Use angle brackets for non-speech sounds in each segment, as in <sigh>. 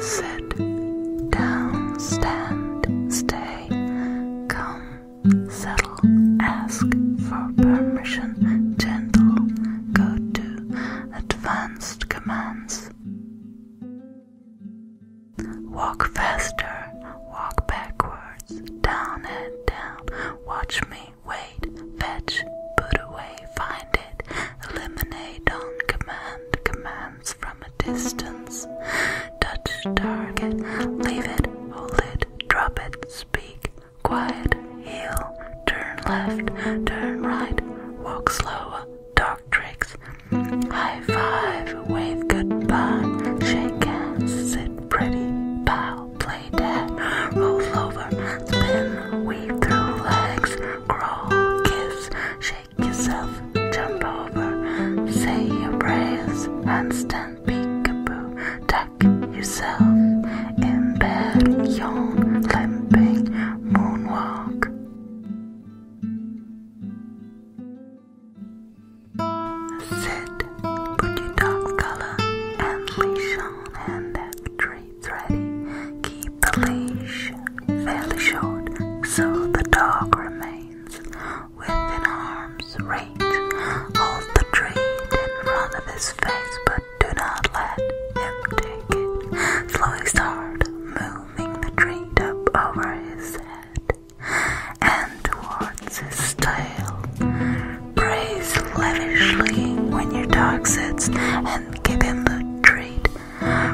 sit down, stand, stay, come, settle, ask for permission, gentle, go to, advanced commands. Walk faster, walk backwards, down and down, watch me, wait, fetch, put away, find it, eliminate on command, command from a distance. Touch target, leave it, hold it, drop it, speak, quiet, heal, turn left, turn right, walk slow, dog tricks, high five, wave goodbye, shake hands, sit pretty, bow, play dead, roll over, spin, weave through legs, crawl, kiss, shake shake yourself, jump over, say your prayers, and stand peekaboo, Duck yourself in bed, yawn, limping, moonwalk. Sit, put your dog collar and leash on and that tree tight, Keep the leash fairly short so the dog remains within arm's reach. Hold the treat in front of his face, but do not let him take it. Slowly start moving the treat up over his head and towards his tail. Praise lavishly when your dog sits and give him the treat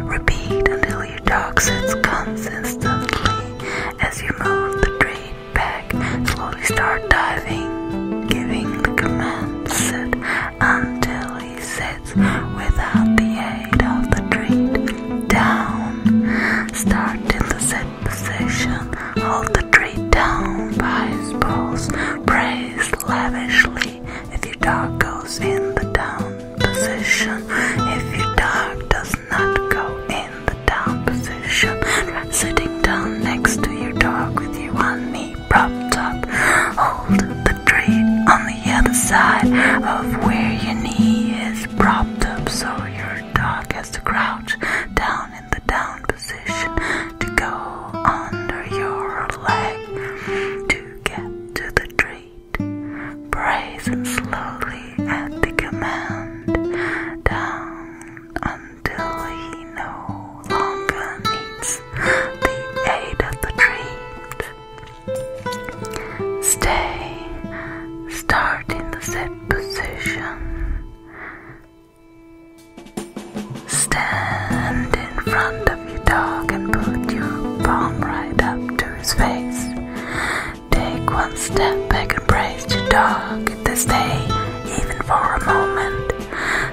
Repeat until your dog sits consistently as you move the train back. Slowly start diving, giving the command sit until he sits without the aid of the treat down. Start in the sit position, hold the treat down by his paws, praise lavishly. If your dog goes in the down position, if your dog does not go in the down position, sitting down next to your dog with your knee propped up. Hold the treat on the other side of where your knee is propped up so your dog has to crouch down in the down position to go under your leg to get to the treat. Brazen slowly at the command down until he no longer needs the aid of the treat. Stay, start in the set position. Stand in front of your dog and put your palm right up to his face. Take one step back and praise your dog at this day, even for a moment.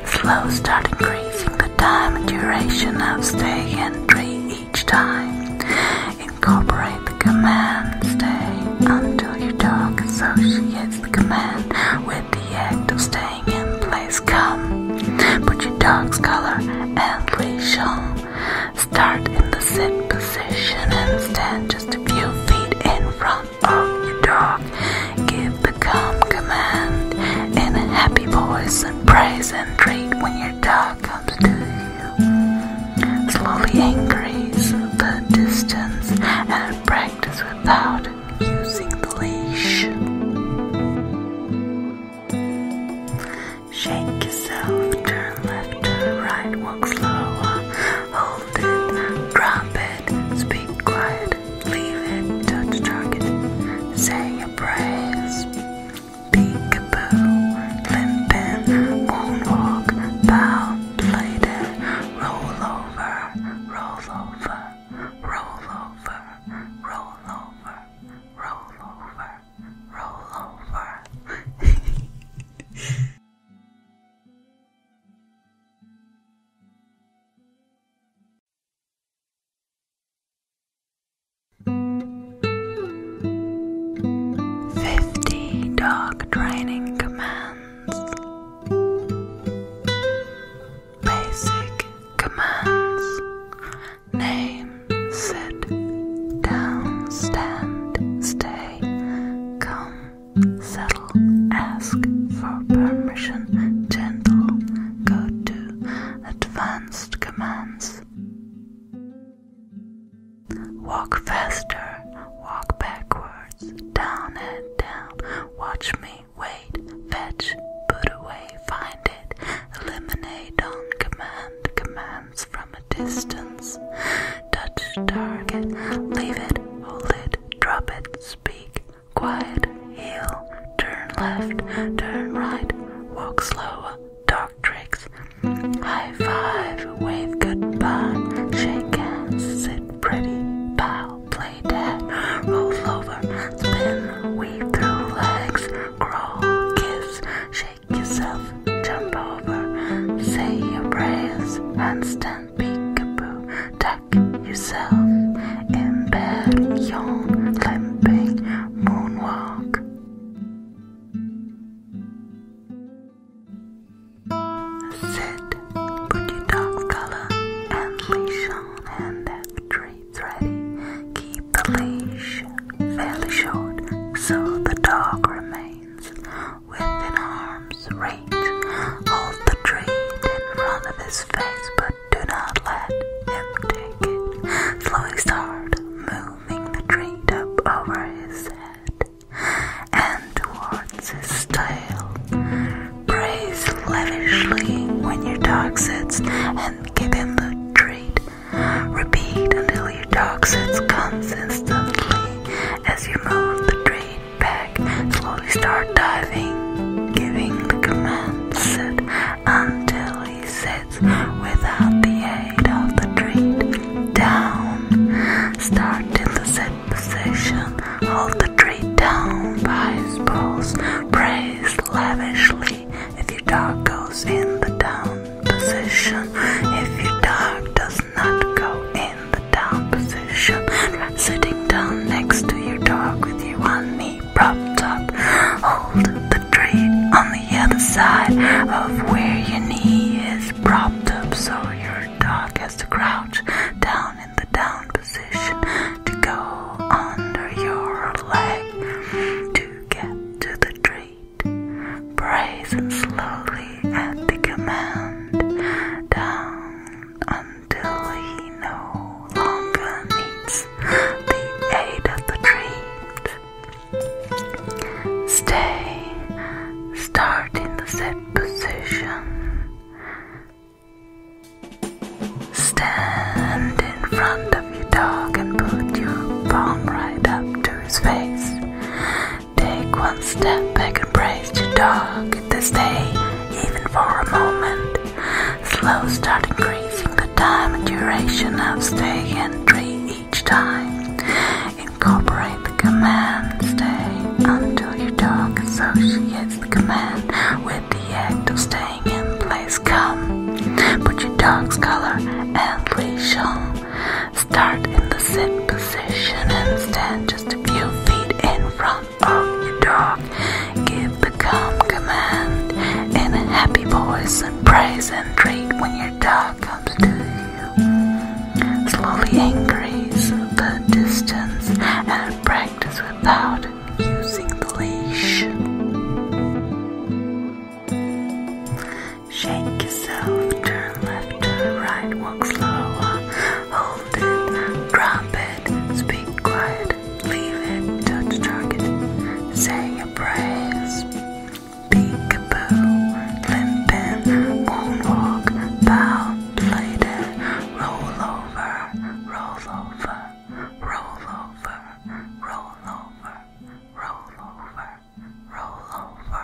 Slow start increasing the time and duration of stay and treat each time. Incorporate the command stay until your dog associates the command with the act of staying in place come. Put your dog's collar and leash on. Start in the sit position and stand just a few feet in front of your dog. Give the calm command in a happy voice and praise and treat when your dog comes to you. Slowly increase the distance and practice without using the leash. Shake yourself, turn left, turn right, walk slow. hold it, drop it, speak quiet, leave it, touch target, say a praise. Peekaboo, limpin', moonwalk, bow, play dead, roll over, roll over roll over, roll over, roll over, roll over. <laughs> Fifty dog training commands. Basic commands Name, sit, down, stand, stay, come, settle, ask for permission, gentle, go to, advanced commands. Walk faster, walk backwards down, and down. Watch me, wait, fetch, put away, find it, eliminate on command. Commands from a distance. Touch target, leave it, hold it, drop it, speak, quiet, Heel. turn left, turn right, walk slower, dark tricks. High five, wave goodbye, shake hands, sit pretty pal, play dead, roll over, spin, weave through legs, crawl, kiss, shake yourself, jump over, say your prayers, handstand, peek-a-boo, duck yourself in bed, yawn, limping, moonwalk. Sit, put your dog's collar and leash on, and have treats ready. Keep the leash fairly short so the dog remains within arm's reach. Hold the treat in front of his face, but do not let him take it. Slowly start moving the treat up over his head and towards his tail. Praise lavishly when your dog sits and give him the treat. Repeat until your dog sits consistently as you move the treat back. Slowly start diving, giving the command sit until he sits without the aid of the treat down. Start in the set position. Hold the tree down by his balls. Praise lavishly if your dog goes in the down position. If your dog does not go in the down position, sitting down next to your dog with your one knee propped up. Hold the tree on the other side of where your knee is propped up so your dog has to crouch down in the down position to go under your leg to get to the treat. Praise him slowly at the command down until he no longer needs the aid of the treat. Stay. Start in the set position. Stand in front of your dog and put your palm right up to his face. Take one step back and praise your dog. Stay even for a moment. Slow start increasing the time and duration of stay and three each time. Incorporate the command stay until your dog associates the command with the act of staying in place. Come, put your dog's collar and leash on. Start in the sit position and stand just a few feet in front of your dog. Give the calm command in a happy voice and praise and treat when your dog comes to you, slowly increase the distance and practice without using the leash. Shake yourself, turn left or right, walk slower, hold it, drop it, speak quiet, leave it, touch target, say your prayers peekaboo, limpin', moonwalk, bow, bladed, roll over, roll over, roll over, roll over, roll over, roll over.